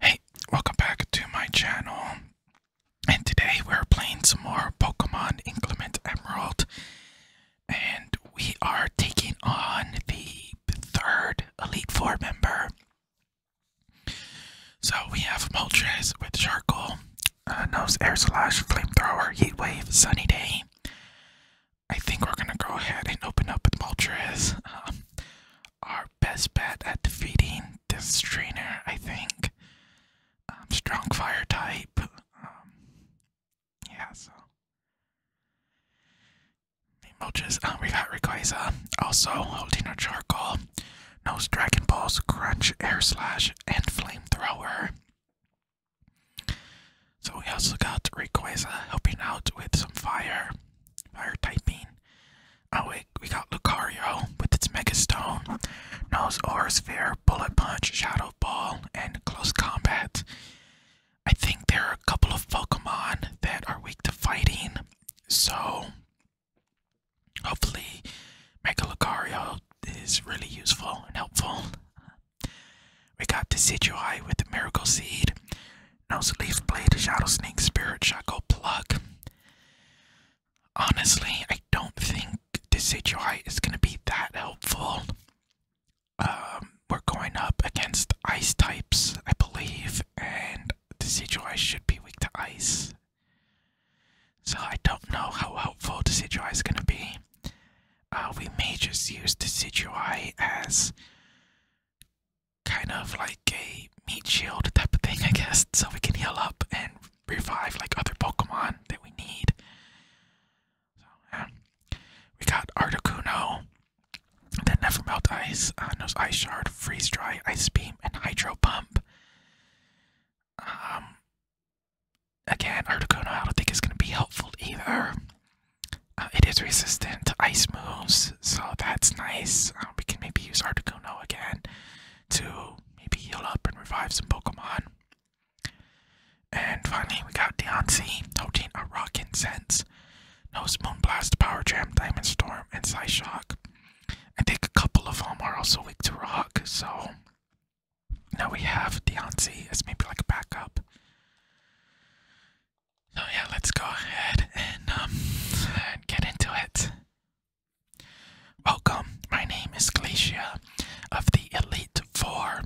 Hey, welcome back to my channel. And today we're playing some more Pokemon Inclement Emerald. And we are taking on the third Elite Four member. So we have Moltres with Charcoal, uh, Nose Air Slash, Flamethrower, Wave, Sunny Day. I think we're gonna go ahead and open up with Moltres. Um, our best bet at defeating this trainer, I think. Um, strong fire type. Um, yeah, so. Emojis. Uh, we got Rayquaza. Also holding a charcoal. Knows Dragon Balls, Crunch, Air Slash, and Flamethrower. So we also got Rayquaza helping out with some fire, fire typing. Oh wait, we got Lucario with its Mega Stone, knows Aura Sphere, Bullet Punch, Shadow Ball, and Close Combat. I think there are a couple of Pokemon that are weak to fighting, so hopefully Mega Lucario is really useful and helpful. We got Decidueye with the Miracle Seed, Noseleaf Blade, Shadow Snake, Spirit Shadow Plug. Honestly, I don't think Decidueye is going to be that helpful. Um, we're going up against ice types, I believe, and Decidueye should be weak to ice. So I don't know how helpful Decidueye is going to be. Uh, we may just use Decidueye as kind of like a meat shield type of thing, I guess, so we can heal up and revive like other Pokemon that we need. So, We got Articuno, then Never Melt Ice, uh, Nose Ice Shard, Freeze Dry, Ice Beam, and Hydro Pump. Um, again, Articuno, I don't think is going to be helpful either. Uh, it is resistant to ice moves, so that's nice. Uh, we can maybe use Articuno again to maybe heal up and revive some Pokemon. And finally, we got Deontay, holding a Rock Incense, Nose Moonblast, Power Jam, Diamond Storm, and Psyshock. I think a couple of them are also weak to Rock, so now we have Deontay as maybe like a backup. So yeah, let's go ahead and um, get into it. Welcome, my name is Glacia of the Elite Four.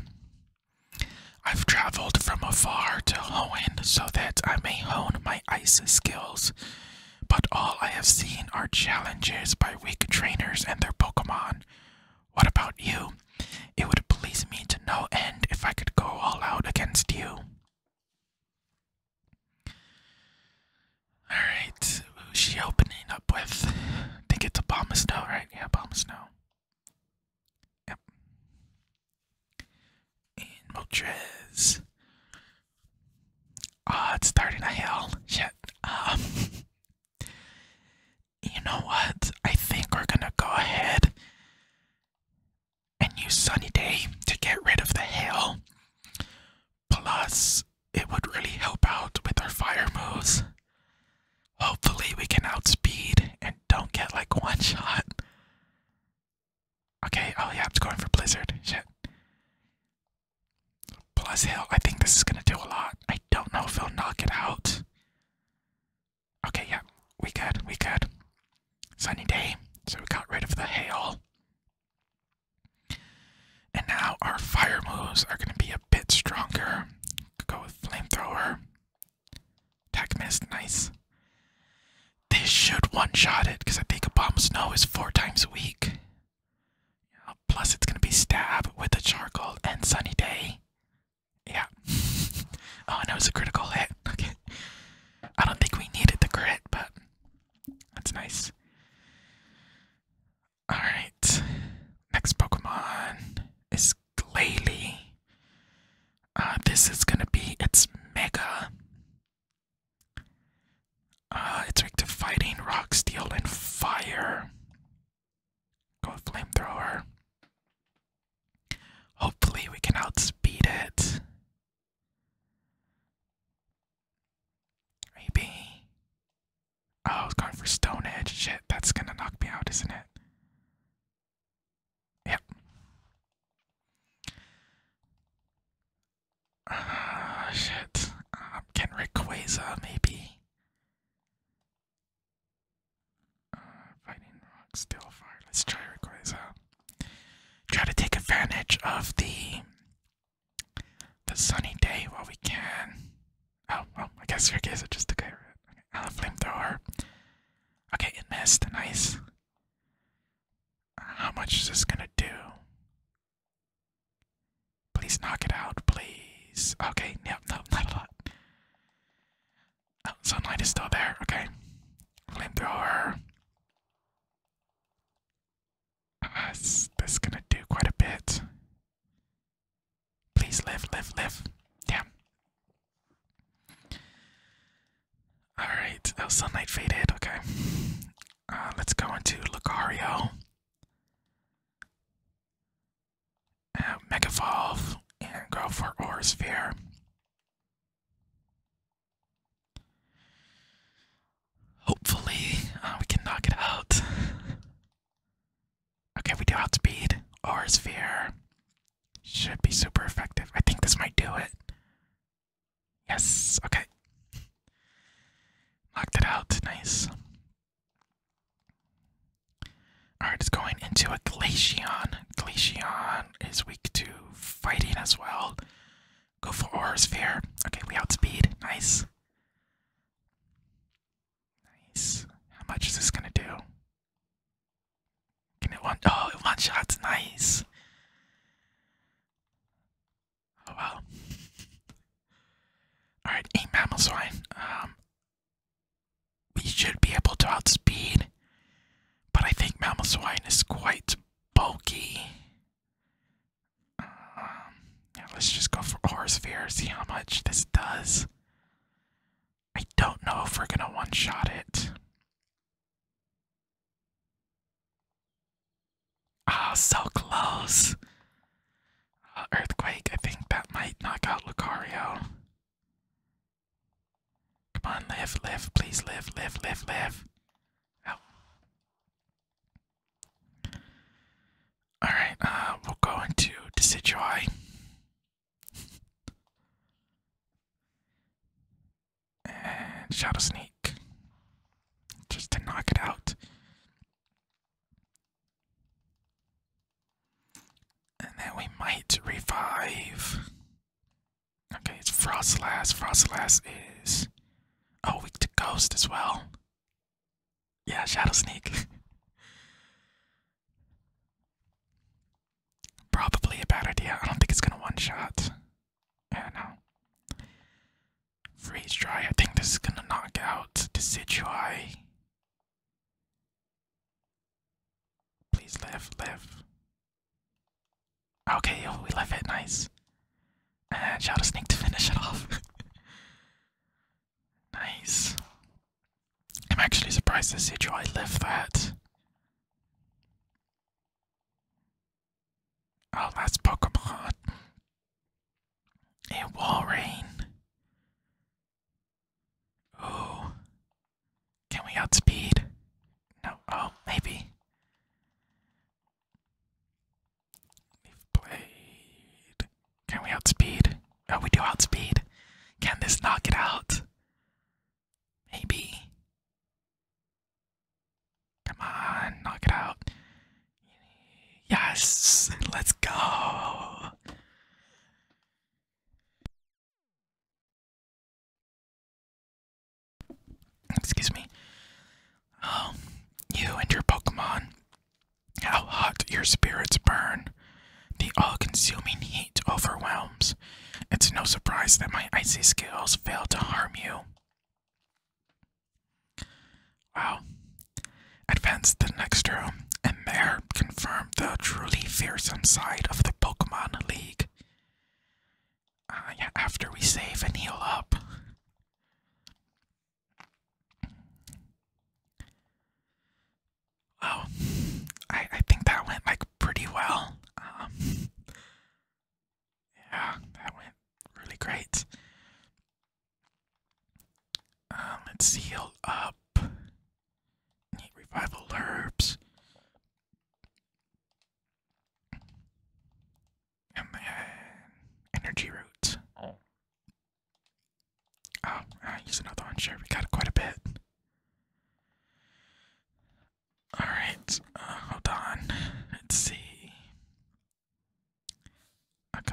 I've traveled from afar to Hoenn so that I may hone my ice skills, but all I have seen are challenges by weak trainers and their Pokemon. What about you? It would please me to no end if I could go all out against you. All right, who's she opening up with? I think it's a bomb of snow, right? Yeah, bomb of snow. Yep. And Moltres. Ah, it's starting a hell. Shit. Um. you know what? I think we're gonna go ahead a new Sunny Day to get rid of the hail. Plus, it would really help out with our fire moves. Hopefully, we can outspeed and don't get like one shot. Okay, oh yeah, it's going for Blizzard. Shit. Plus, hail, I think this is gonna do a lot. I don't know if we will knock it out. Okay, yeah, we could. we could. Sunny day, so we got rid of the hail. And now our fire moves are going to be a bit stronger. Could go with flamethrower. Attack missed, nice. This should one-shot it, because I think a bomb snow is four times a week. plus it's going to be stab with a charcoal and sunny day. Yeah. oh, and it was a critical hit. Okay. I don't think we needed the crit, but that's nice. Alright. Next Pokemon is Glalie. Uh, this is gonna be its Mega. Uh, it's weak to fighting, rock, steel, and fire. Go flamethrower. Hopefully, we can outspeed it. Maybe. Oh, I was going for Stone Edge. Shit, that's gonna knock me out, isn't it? Yep. Ah, shit. Um, can Rayquaza, maybe? Uh, Fighting Rock, Steel Fire. Let's try Rayquaza. Try to take advantage of the the sunny day while we can. Oh, well, I guess your guys are just the guy. Okay, uh, flamethrower. Okay, it missed. Nice. Uh, how much is this gonna do? Please knock it out, please. Okay, yep, no, not a lot. Oh, sunlight is still there. Okay. Flamethrower. Uh, this is gonna do quite a bit. Please live, live, live. Damn. Alright, oh, Sunlight faded, okay. Uh, let's go into Lucario. Uh, Megavolve and go for Orosphere. Hopefully, uh, we can knock it out. okay, we do outspeed. Our sphere should be super effective. I think this might do it. Yes, okay. Knocked it out, nice. Alright, it's going into a Glaceon. Glaceon is weak to fighting as well. Go for aura sphere. Okay, we outspeed. Nice. Nice. How much is this gonna do? Can it one oh it one shots, nice. Oh wow. Alright, eight mammal Um we should be able to outspeed, but I think mammal swine is quite bulky. Um, let's just go for Aura Sphere, see how much this does. I don't know if we're gonna one shot it. Oh, so close. Uh, earthquake, I think that might knock out Lucario. Come on, live, live, please live, live, live, live. Alright, uh, we'll go into Decidueye. and Shadow Sneak. Just to knock it out. And then we might revive. Okay, it's Frostlass. Frostlass is. a weak to Ghost as well. Yeah, Shadow Sneak. Probably a bad idea. I don't think it's gonna one shot. Yeah, no. Freeze dry. I think this is gonna knock out Decidueye. Please live, live. Okay, we live it. Nice. Shadow Snake to finish it off. nice. I'm actually surprised to see I live that. Oh, that's Pokemon. It will rain. Oh. Can we outspeed? No. Oh, maybe. We've Can we outspeed? Oh, we do outspeed. Can this knock it out? Maybe. Come on, knock it out. Yes, let's go. Excuse me. Um, you and your Pokemon, how hot your spirits burn. The all consuming heat overwhelms. It's no surprise that my icy skills fail to harm you. Wow. Advance the next room, and there confirm the truly fearsome side of the Pokemon League. Ah, after we save and heal up. Oh, I I think that went like pretty well. Um, yeah, that went really great. Um, let's heal up. revival herbs. Uh, energy roots. Oh. oh use uh, another one. Sure, we got quite a bit. Alright, uh, hold on. Let's see. Okay.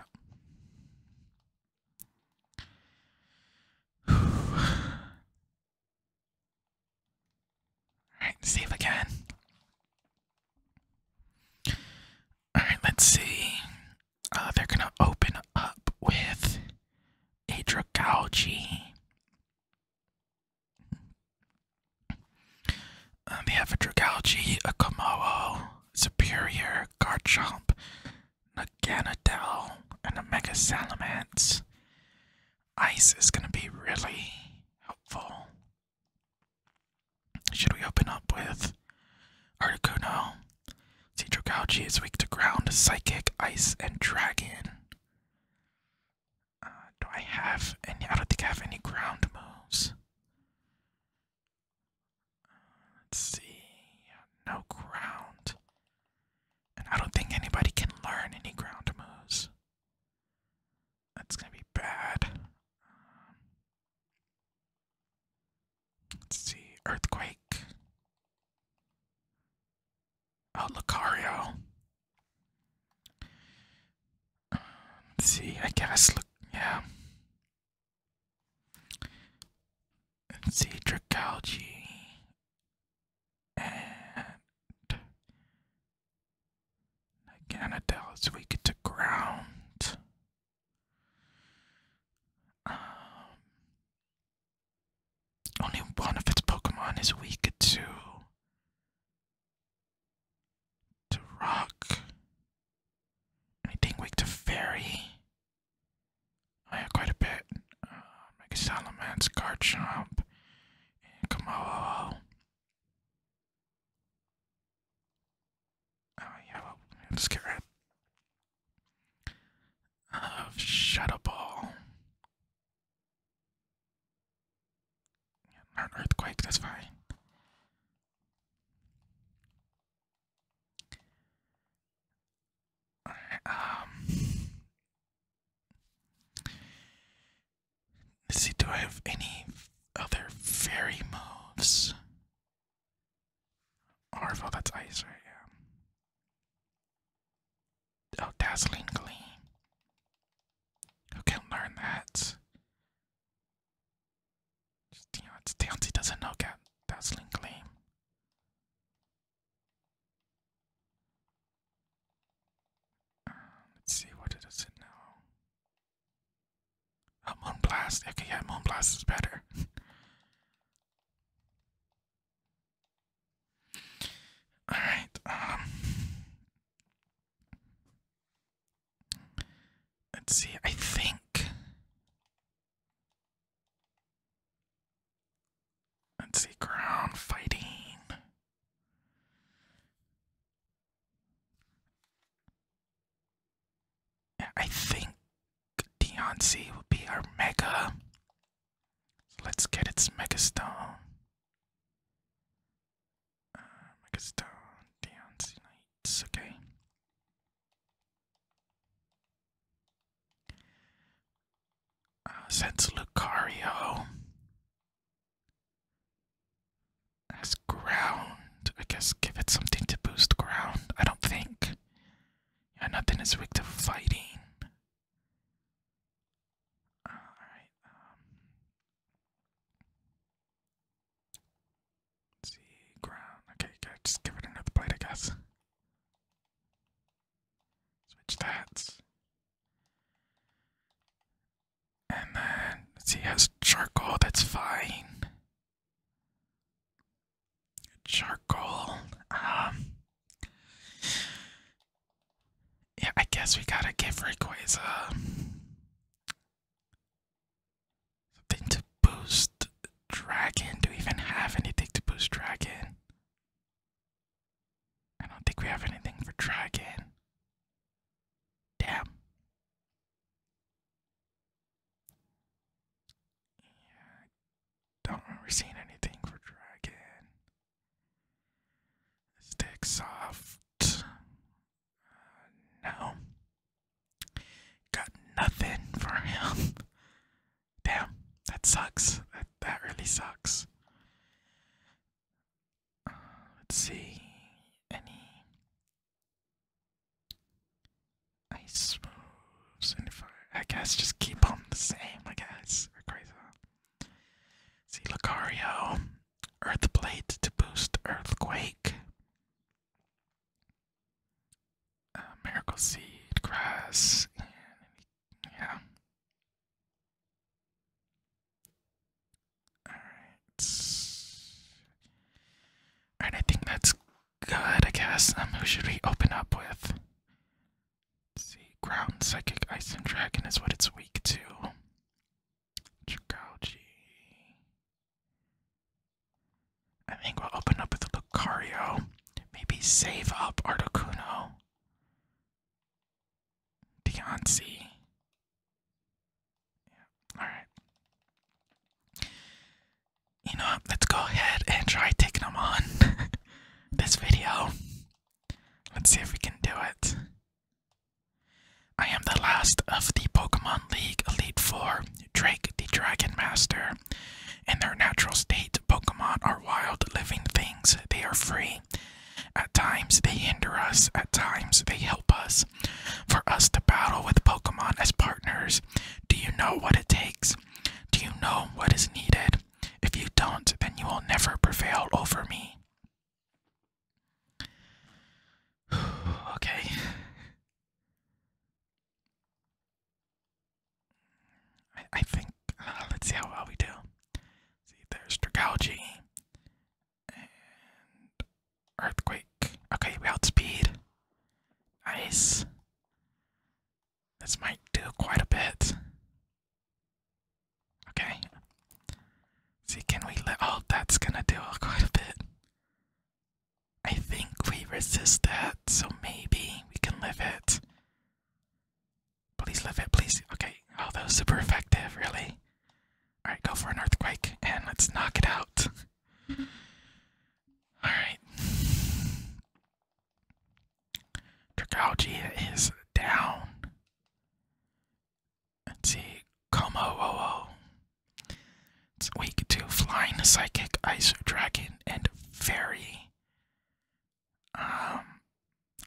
Alright, save again. Alright, let's see. Uh, they're going to open up with Adrogalgi. Um, they have a Dragalge, a Komodo, Superior, Garchomp, Naganadel, and a Mega Salamence. Ice is going to be really helpful should we open up with Articuno? Cedro Gouchi is weak to ground, psychic, ice, and dragon. Uh, do I have any? I don't think I have any ground moves. Uh, let's see. No ground. And I don't think anybody can learn any ground moves. That's gonna be bad. Um, Let's see. Earthquake. Oh, Lucario. let's see. I guess. Look. Yeah. Let's see. Dragalge. And. Again, Adele is weak to ground. Um, only one of its Pokemon is weak to to rock. Anything weak to fairy? I oh, quite a bit. Mega um, Salamence, Garchomp, and Kamalo. Oh yeah, well, i get rid of Shadow Ball. Earthquake, that's fine. Alright, um... see, do I have any other fairy moves? Orville, that's ice, right? Yeah. Oh, Dazzling Gleam. Who can learn that? Just, you know, doesn't know Dazzling Gleam. Um, let's see, what does it know? A Moonblast. Okay, Moonblast is better. Alright, um, Let's see, I think. Let's see, ground fighting. I think Deoncé will be our mega. let's get its mega stone. Uh, mega stone, Deoncé Knights, okay. Uh, since Lucario has ground. I guess give it something to boost ground. I don't think. Yeah, nothing is weak to fighting. Alright. Um, see, ground. Okay, okay, just give it another blade, I guess. Switch that. And then, see, has charcoal, that's fine. Charcoal. Um, yeah, I guess we gotta give Rayquaza something to boost Dragon. Do we even have anything to boost Dragon? I don't think we have anything for Dragon. Damn. Yeah, I don't remember seeing anything for Dragon. Stick soft. Uh, no. Got nothing for him. Damn, that sucks. That that really sucks. Uh, let's see. Any Ice moves and fire. I guess just keep on the same, I guess. Or crazy. See Lucario. Earthplate to boost Earthquake. Uh, Miracle Seed, Grass, and yeah. Alright. Alright, I think that's good, I guess. Um, who should we open up with? see, ground, psychic, ice, and dragon is what it's weak to. Chikauji. I think we'll open up with Lucario. Maybe save up Articuno. Deontay. Yeah. Alright you know, let's go ahead and try taking them on this video. Let's see if we can do it. I am the last of the Pokemon League Elite Four, Drake the Dragon Master. In their natural state, Pokemon are wild living things. They are free. At times they hinder us, at times they help us. For us to battle with Pokemon as partners do you know what it takes? Do you know what is needed? If you don't, then you will never prevail over me. okay. I, think, uh, let's see how well we do. See, there's Dragalge and Earthquake. Okay, we outspeed. Nice. This might do quite a bit. Okay. See, can we let. Oh, that's gonna do quite a bit. I think we resist that, so maybe we can live it. Please live it, please. Okay. Oh, that was super effective, really. Alright, go for an earthquake and let's knock it out. All right. Dragalgia is down. Let's see. Komo It's weak to Flying Psychic, Ice Dragon, and Fairy. Um,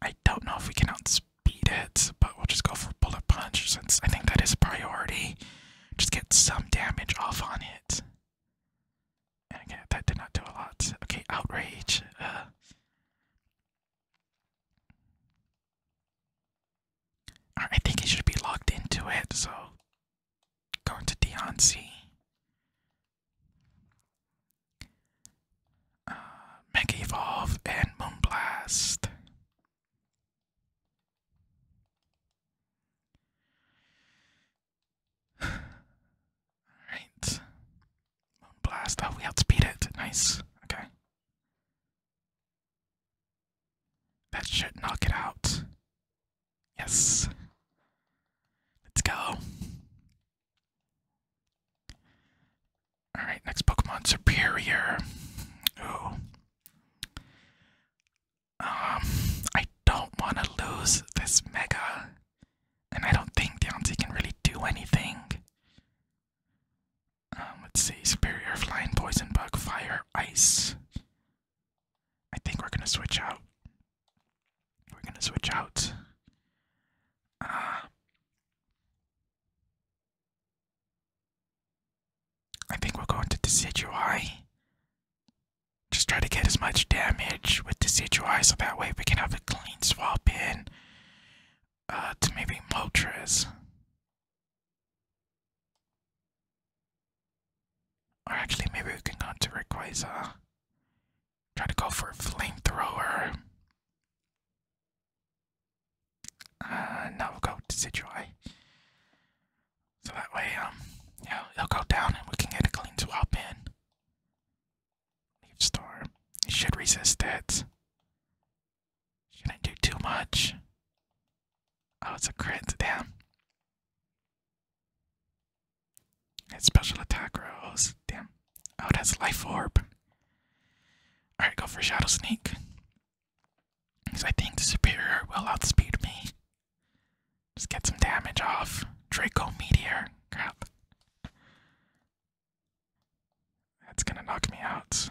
I don't know if we can outspeed it, but we'll just go for Bullet Punch since I think that is a priority. Just get some damage off on it. And that did not do a lot. Okay, outrage. Uh. I think he should be locked into it, so going to Deoncy. Uh, Mega Evolve and Moonblast. All right. Moon blast. Oh, we outspeed it. Nice. Okay. That should knock it out. Yes. Let's go. Alright, next Pokemon Superior. Ooh. Um, I don't want to lose this mega, and I don't think Deontay can really do anything. Um, let's see, superior flying, poison bug, fire, ice. I think we're gonna switch out. We're gonna switch out. Uh, I think we're going to Decidueye. Just try to get as much damage with Decidueye eye so that way we can have a clean swap in uh, to maybe Moltres. Or actually, maybe we can go into Rayquaza. Try to go for a flamethrower. Uh, now we'll go to Decidueye. So that way, um, yeah, he'll go down and we can get a clean swap in. Leaf Storm. should resist it. Shouldn't do too much. Oh, it's a crit, damn. It's special attack rolls. Damn. Oh, that's life orb. Alright, go for Shadow Snake. Because I think the superior will outspeed me. Just get some damage off. Draco Meteor. Crap. That's gonna knock me out.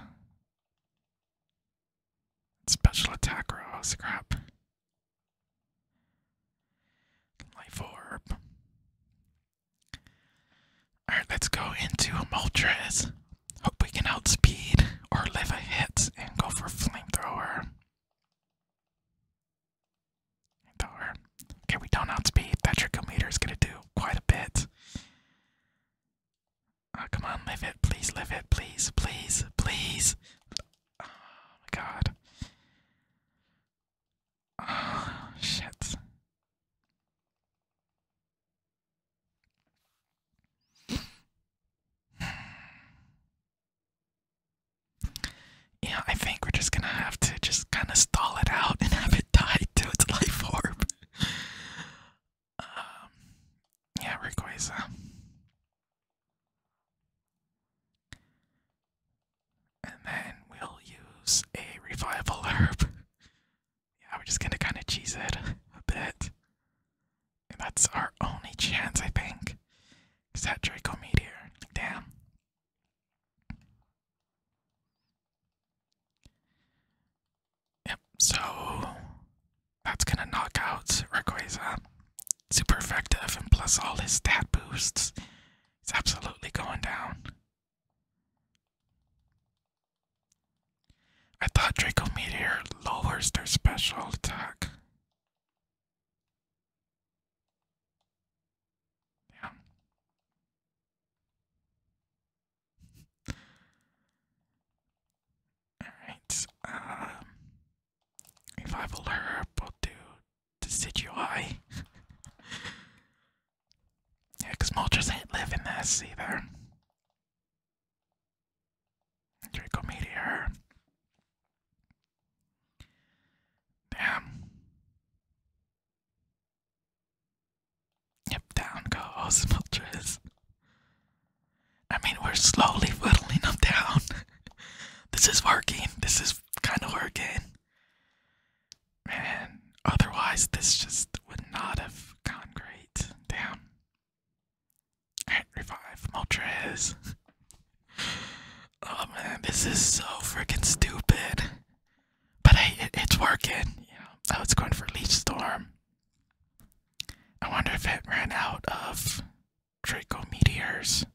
Special attack rose. Scrap. Life orb. Alright, let's go into Multras. Hope we can outspeed or live a hit and go for flamethrower. Thor. Okay, we don't outspeed. That trichometer is gonna do quite a bit. Oh, come on, live it, please, live it, please, please, please. Oh my god. Oh, shit. Yeah, I think we're just gonna have to just kind of stall it out and have it die to its life orb. Um, yeah, Rayquaza. And then we'll use a revival herb. yeah, we're just gonna kind of cheese it a bit. that's our only chance, I think. Is Draco Meteor? Damn. Yep, so that's gonna knock out Rayquaza. Super effective, and plus all his stat boosts. It's absolutely going down. I thought Draco Meteor lowers their special attack. Damn. Alright, revival um, herb, will do decidui. yeah, because ain't living this either. Draco Meteor. Damn. Yep, down goes Moltres. I mean, we're slowly whittling them down. this is working. This is kind of working. Man, otherwise, this just would not have gone great. Damn. revive Moltres. Oh man, this is so freaking stupid. But hey, it's working. You know, oh, it's going for Leech Storm. I wonder if it ran out of Draco Meteors.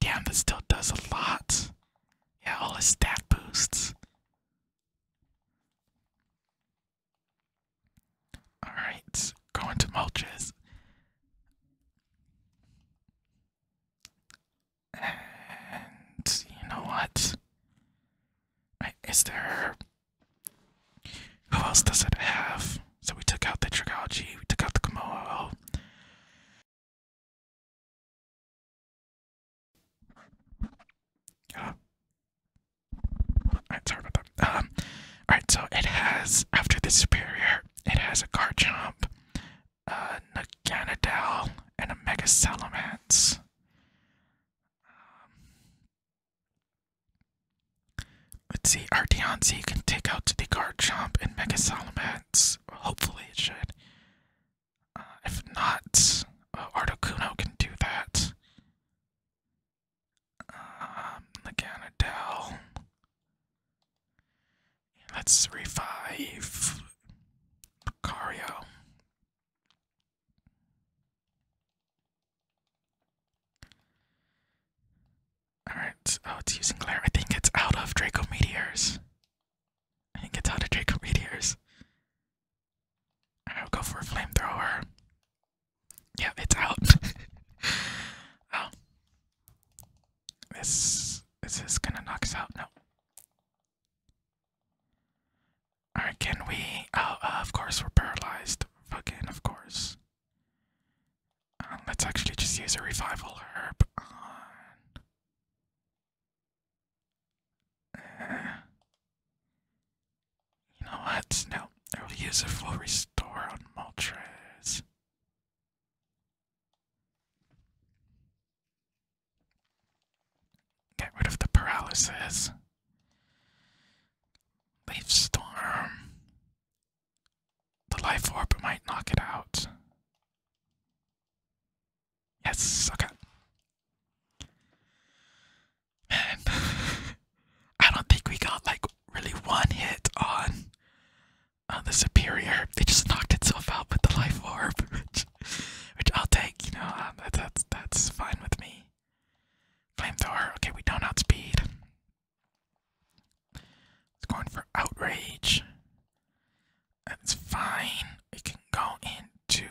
Damn, this still does a lot. Yeah, all his stat boosts. Alright, going to Mulches. And you know what? there. Who else does it have? So we took out the Trigology, we took out the Komodo. Uh, sorry about that. Um, Alright, so it has, after the Superior, it has a jump uh, Naganadal, and a Mega Salamence. Um, let's see, Arteonzi can take out the Garchomp and Mega Salamence. Hopefully it should. Uh, if not, uh, can do that. Um, Let's revive Lucario. Alright, oh, it's using glare. I think it's out of Draco Meteors. I think it's out of Draco Meteors. Alright, I'll go for a flamethrower. Yeah, it's out. oh. This is gonna knock us out? No. Alright, can we oh uh, of course we're paralyzed. Fucking of course. Uh, let's actually just use a revival herb on uh, You know what? No. I will use a full restore on Moltres. Get rid of the paralysis. Leaf storm. The life orb might knock it out. Yes, okay. Man, I don't think we got like really one hit on uh, the superior. It just knocked itself out with the life orb, which, I'll take. You know, um, that's that's fine with me. Flamethrower. Okay, we don't outspeed. It's going for outrage. That's fine. We can go into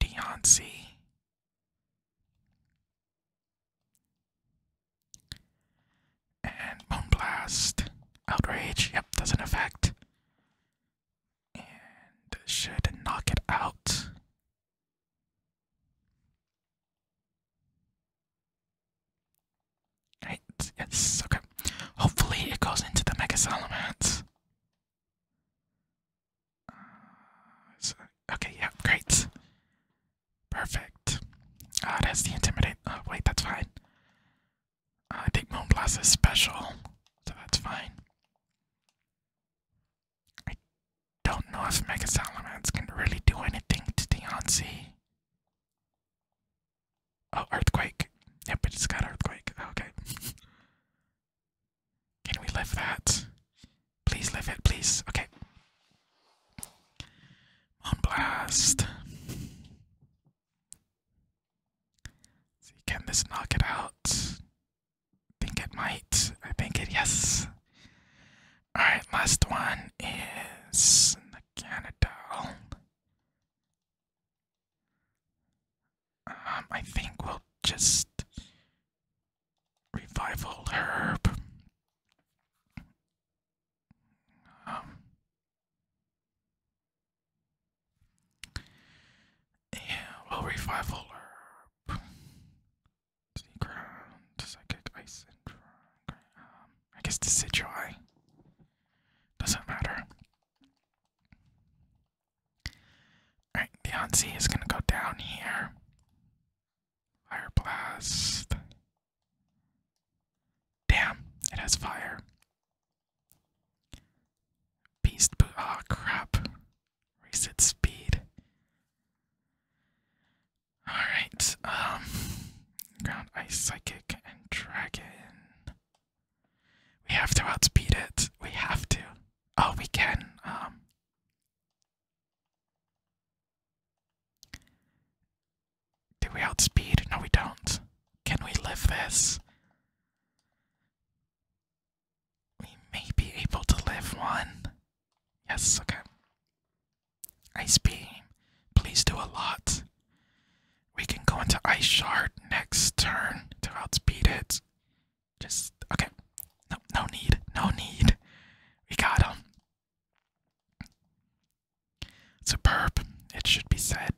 Deontay. And Bone Blast. Outrage. Yep, doesn't affect. And should knock it out. Right, yes, okay. Hopefully it goes into the Mega Salamence. Uh, okay, yeah, great. Perfect. Ah, that's the Intimidate. Oh, wait, that's fine. I think Moonblast is special, so that's fine. I don't know if Mega Salamence can really do anything to Deoncé. Oh, Earthquake. Yep, it just got Earthquake. Okay. can we live that? Please live it, please. Okay. Moonblast can this knock it out? I think it might. I think it, yes. Alright, last one is the Canadol. Um, I think we'll just revival herb. Um, yeah, well, revival herb. Sneak around, psychic ice and um, I guess decidui. Doesn't matter. Alright, the Anzi is gonna go down here. Fire blast. Damn, it has fire. Beast oh, crap. Reset speed. Alright, um. Ground Ice Psychic and Dragon. We have to outspeed it. We have to. Oh, we can. Um. Do we outspeed? No, we don't. Can we live this? We may be able to live one. Yes, okay. Ice Beam, please do a lot. We can go into Ice Shard next turn to outspeed it. Just, okay. No, no need, no need. We got him. Superb, it should be said.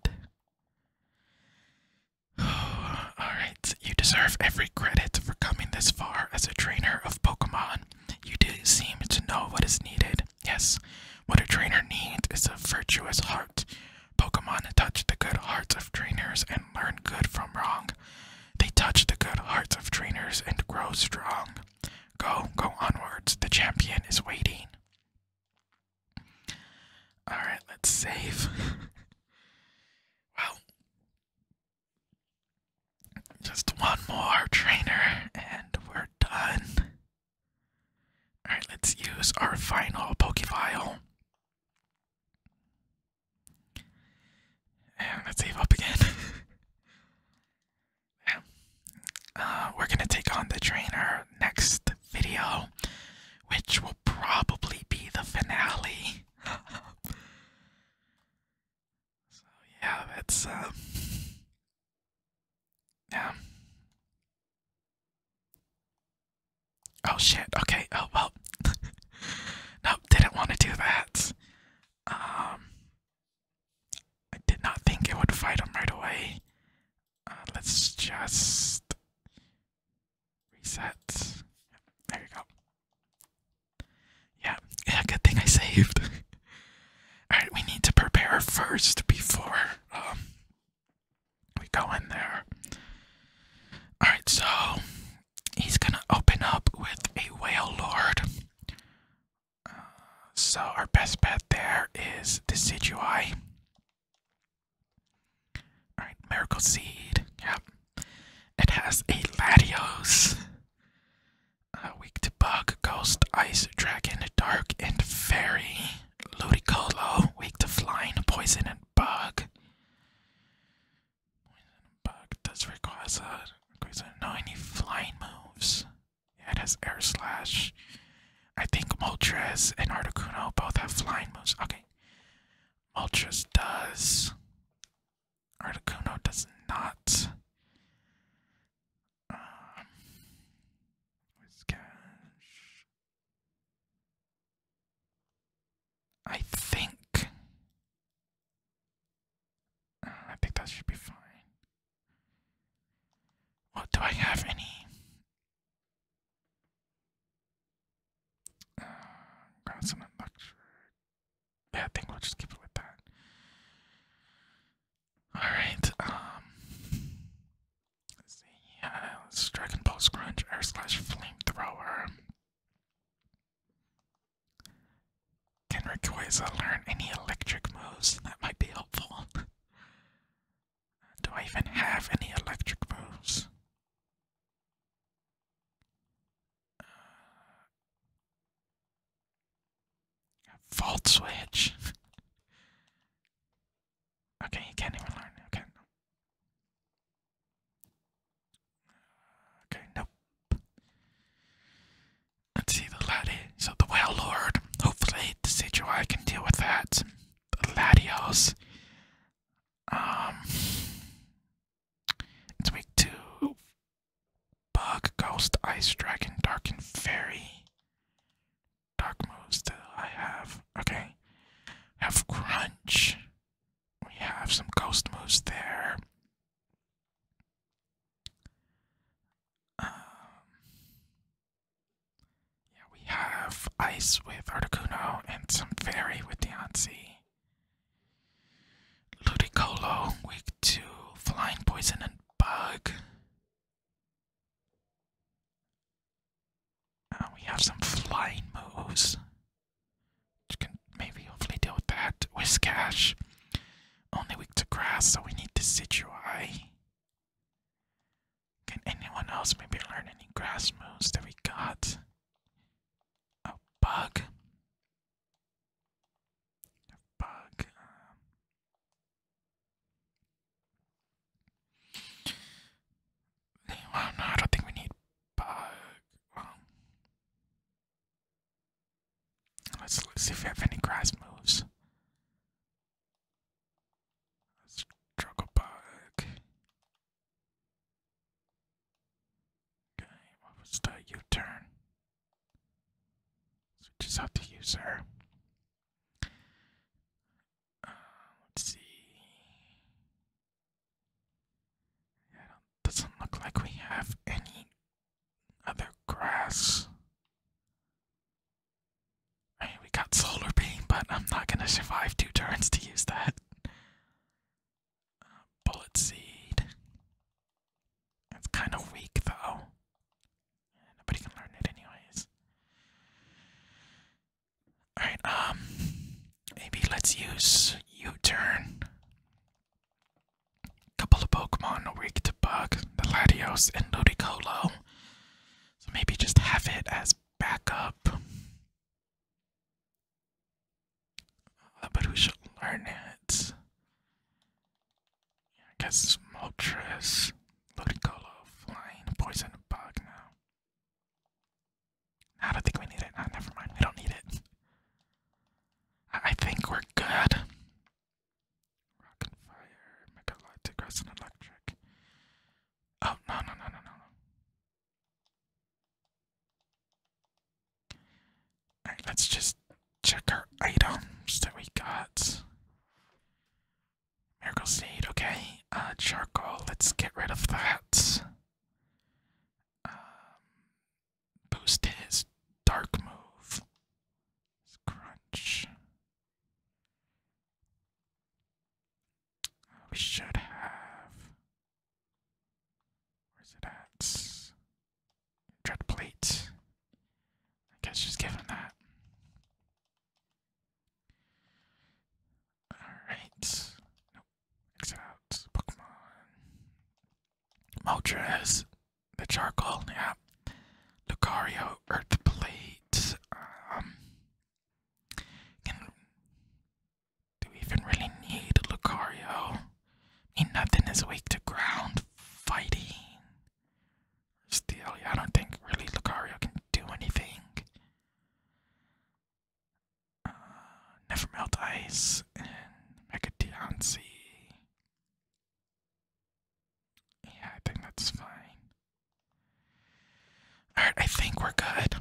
Alright, you deserve every credit for coming this far as a trainer of Pokemon. You do seem to know what is needed. Yes, what a trainer needs is a virtuous heart. Pokemon touch the good hearts of trainers and learn good from wrong. They touch the good hearts of trainers and grow strong. Go, go onwards, the champion is waiting. All right, let's save. well, just one more trainer and we're done. All right, let's use our final Pokefile. And let's save up again. Uh, we're gonna take on the trainer next video, which will probably be the finale. so yeah, that's um Yeah. Oh shit, okay, oh well Nope, didn't want to do that. Um I did not think it would fight him right away. Uh, let's just reset. there we go. Yeah, good thing I saved. Alright, we need to prepare first before um we go in there. Alright, so he's gonna open up with a whale lord. Uh, so our best bet there is the sigui. Alright, Miracle Seed. Yep. It has a Latios. Uh, weak to Bug, Ghost, Ice, Dragon, Dark, and Fairy. Ludicolo, weak to Flying, Poison, and Bug. Poison and Bug does require Requires no any flying moves. it has Air Slash. I think Moltres and Articuno both have flying moves. Okay. Moltres does. Articuno does not. Um, I think. Uh, I think that should be fine. Well, do I have any uh, Consonant lecture. Yeah, I think we'll just keep it with that. Alright, um. Let's see. Yeah, let Dragon Ball Scrunch, Air Slash Flamethrower. Can Rayquaza learn any electric moves? That might be helpful. Do I even have any electric moves? Uh, switch. okay, you can't even learn. Okay. Uh, okay, nope. Let's see the laddie. So the Well Lord. Hopefully the CGI can deal with that. Latios. Um, it's week two. Bug, Ghost, Ice Dragon, Dark, and Fairy. Dark moves that I have. Okay. have Crunch. We have some Ghost moves there. Um, yeah, we have Ice with Articuno and some Fairy with Deontay. Ludicolo, weak to Flying Poison and Bug. Uh, we have some flying moves. You can maybe hopefully deal with that. Whiskash. Only weak to grass, so we need to Decidueye. Can anyone else maybe learn any grass moves that we got? A bug? bug. Um, no, I don't think we need bug. let's see if we have any grass moves. Struggle bug. Okay, what was the U turn? Switches out the user. Uh, let's see. Yeah, doesn't look like we have any other grass we got Solar Beam, but I'm not gonna survive two turns to use that. Uh, bullet Seed. It's kind of weak, though. nobody can learn it, anyways. Alright, um, maybe let's use U turn. Couple of Pokemon weak to bug, the Latios and Ludicolo. So maybe just have it as backup. Oh, but we should learn it. I guess Moltres, Ludicolo, Flying, Poison, Bug now. I don't think we need it. Ah, never mind. We don't need it. I, think we're good. Rock and Fire, Megalitic, Grass and Electric. Oh, no, no, no, no, no. Alright, let's just check our items that we got. Miracle seed, okay. Uh, charcoal, let's get rid of that. Um, boost his dark move. let we should have. Where's it at? Dread plate. I guess just give that. Alright. Nope. Exit out. Pokemon. Moltres. The charcoal, yeah. Lucario, Earth Plate. Um do we even really need Lucario? I mean, nothing is weak to ground fighting. Still, I don't think really Lucario can do anything. Uh, Never Melt Ice and Mega Deoncé. Yeah, I think that's fine. Alright, I think we're good.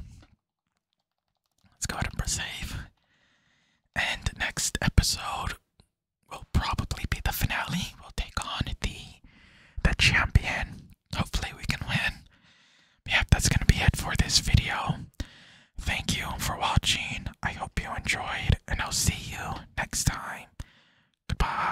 Let's go ahead and save. And next episode will probably be the finale. We'll take on the the champion. Hopefully we can win. But yeah, that's gonna be it for this video. Thank you for watching. I hope you enjoyed, and I'll see you next time. Goodbye.